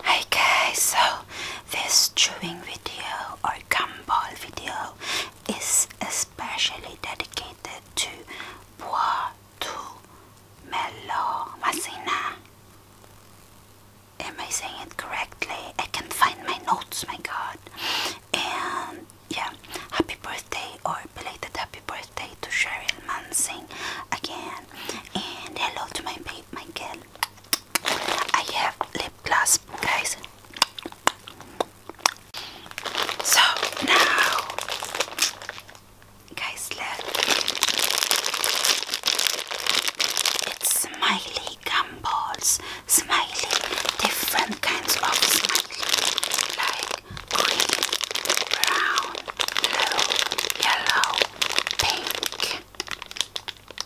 Okay, so this chewing video or gumball video is especially dedicated to Bois to Melo Masina. Am I saying it correctly? I can't find my notes, my god. And yeah, happy birthday or belated happy birthday birthday to Cheryl Manson again. And hello to my babe, Michael. I have lip gloss, guys. So now, guys, look. It's smiley gumballs, smiley, different kinds of smiley, green, brown, blue, yellow, pink.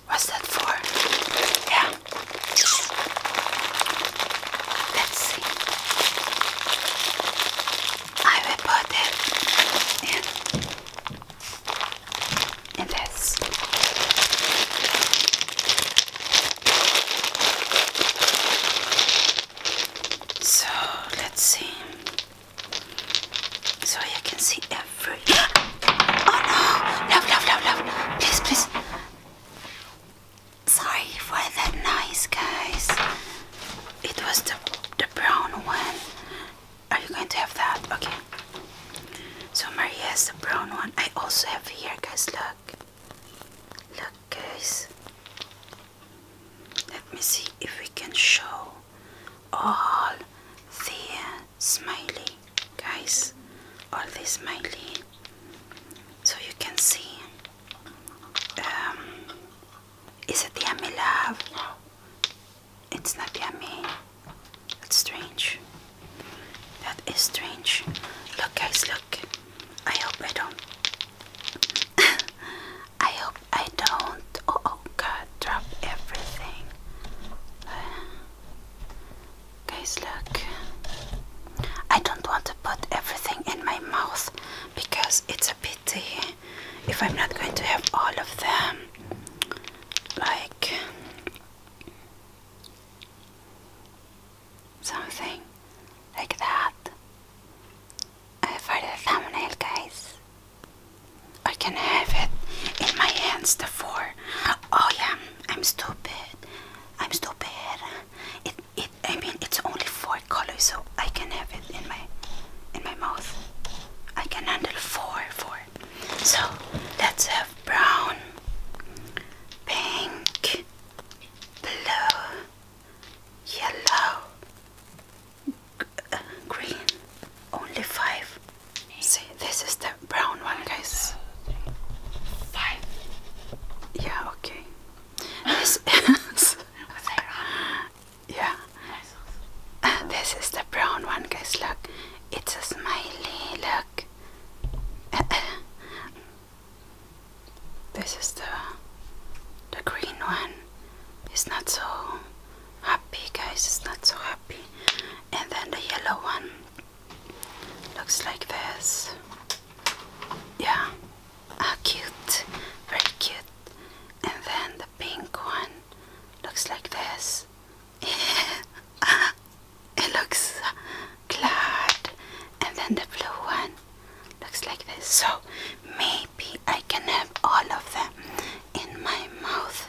What's that for? Yeah. Let's see. I will put it in, in this. So let's see so you can see every. oh no! Love, love, love, love! Please, please. Sorry for that noise, guys. It was the the brown one. Are you going to have that? Okay. So Maria has the brown one. I also have here, guys. Look, look, guys. Let me see if we can show all the uh, smiley guys, all the smiley, so you can see. Um, is it yummy, love? it's not yummy. That's strange. That is strange. Look, guys, look. I hope I don't. I hope I don't. Oh, oh, God, drop everything. guys, look. I don't want to put everything in my mouth because it's a pity if I'm not going to have all of them. Like something like that. I for a thumbnail, guys. I can have it in my hands, the four. Oh yeah, I'm stupid. I'm stupid. It, it. I mean, it's only four colors, so I can have it in my, in my mouth. I can handle four, four. So let's have brown, pink, blue yellow, uh, green, only five. See, this is the brown one, guys. Five. Yeah, okay. This yeah. this is the brown one, guys. Look, it's a smiley. Look. This is the the green one. It's not so happy, guys. It's not so happy. And then the yellow one looks like this. Yeah. how ah, cute. Very cute. And then the pink one looks like this. it looks cloud and then the blue one looks like this so maybe I can have all of them in my mouth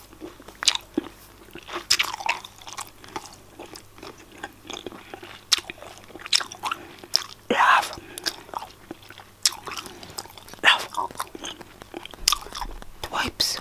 Love. Love. The Thanks.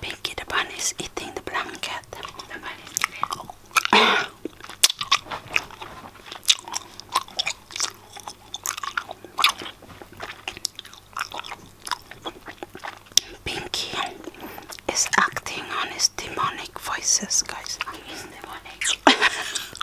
Pinky the bunny is eating the blanket. Pinky is acting on his demonic voices, guys.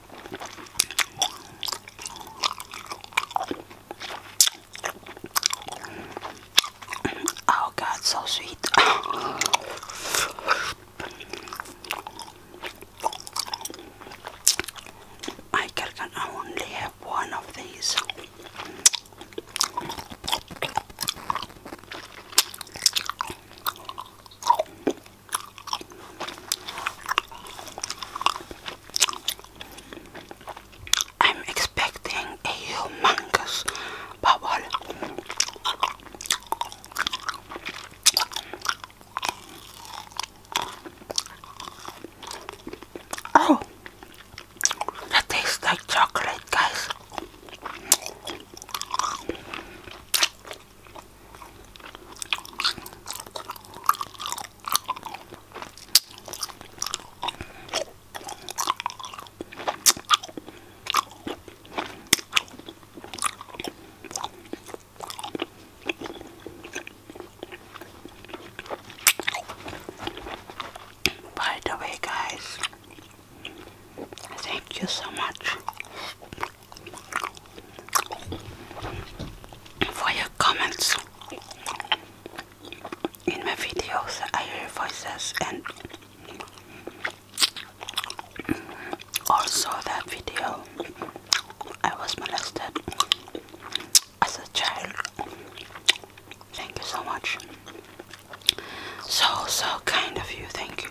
Oh God, so sweet. Michael can only have one of these. I'm expecting a humongous bubble. Oh, that tastes like chocolate, guys. By the way, guys, thank you so much for your comments in my videos. I hear voices and also that video I was molested as a child. Thank you so much. So, so kind of you. Thank you.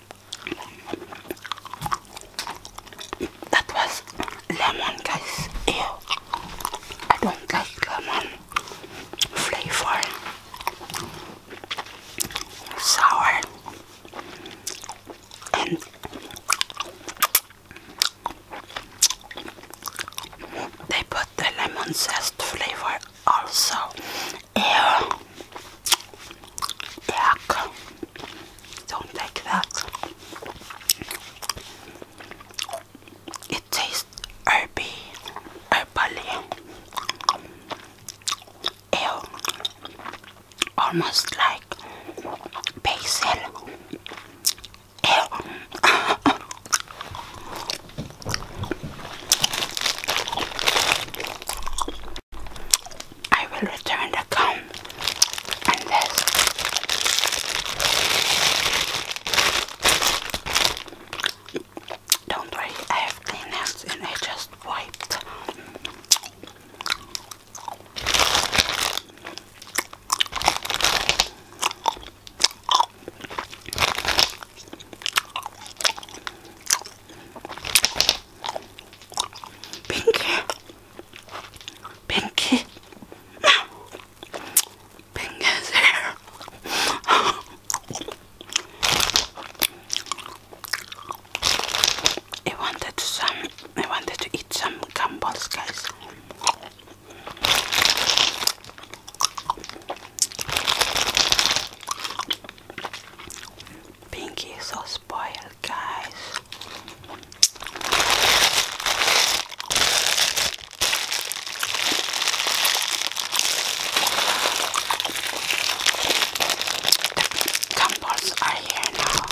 That was lemon, guys. Ew. I don't like lemon flavor. Sour and they put the lemon zest flavor also air back. Don't like that. It tastes herby, herbally, ale, almost like basil. Ale. I will return the comb and this. Don't worry, I have clean hands and I just wiped. Pinky, Pinky, Pinky's here. I wanted some. I wanted to eat some gumballs, guys. Pinky is so spoiled, guys. The are here now.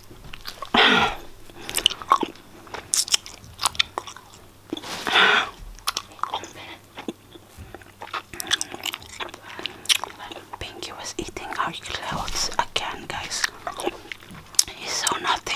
Pinky was eating our clothes again, guys. He's so naughty.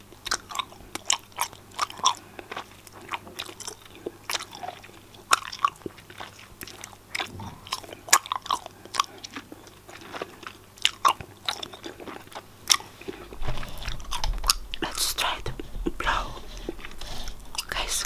Let's try to blow, guys.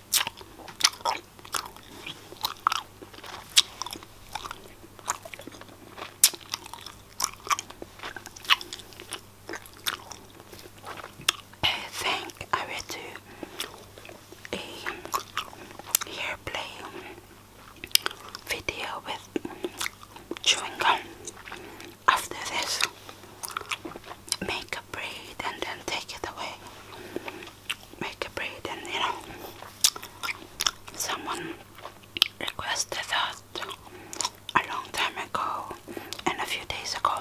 I think I will do a hair play video with chewing gum after this make a braid and then take it away. Make a braid, and you know, someone requested that a long time ago and a few days ago.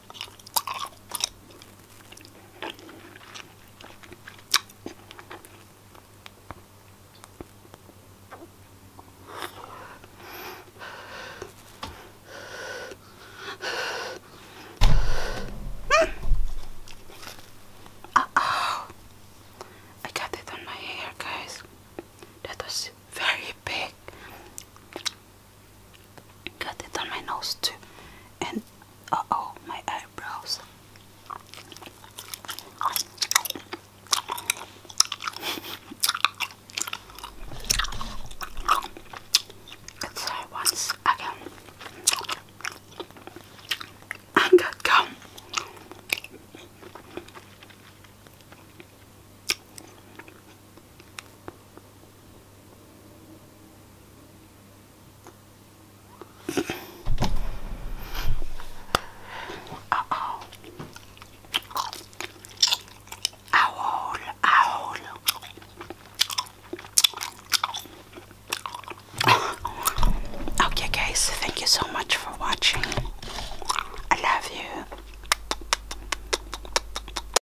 Uh oh, I got it on my hair, guys. That was very big. Got it on my nose too. And oh, my eyebrows. Let's once again. I got gum. Uh oh. Owl, owl. Okay, guys, thank you so much for watching. I love you.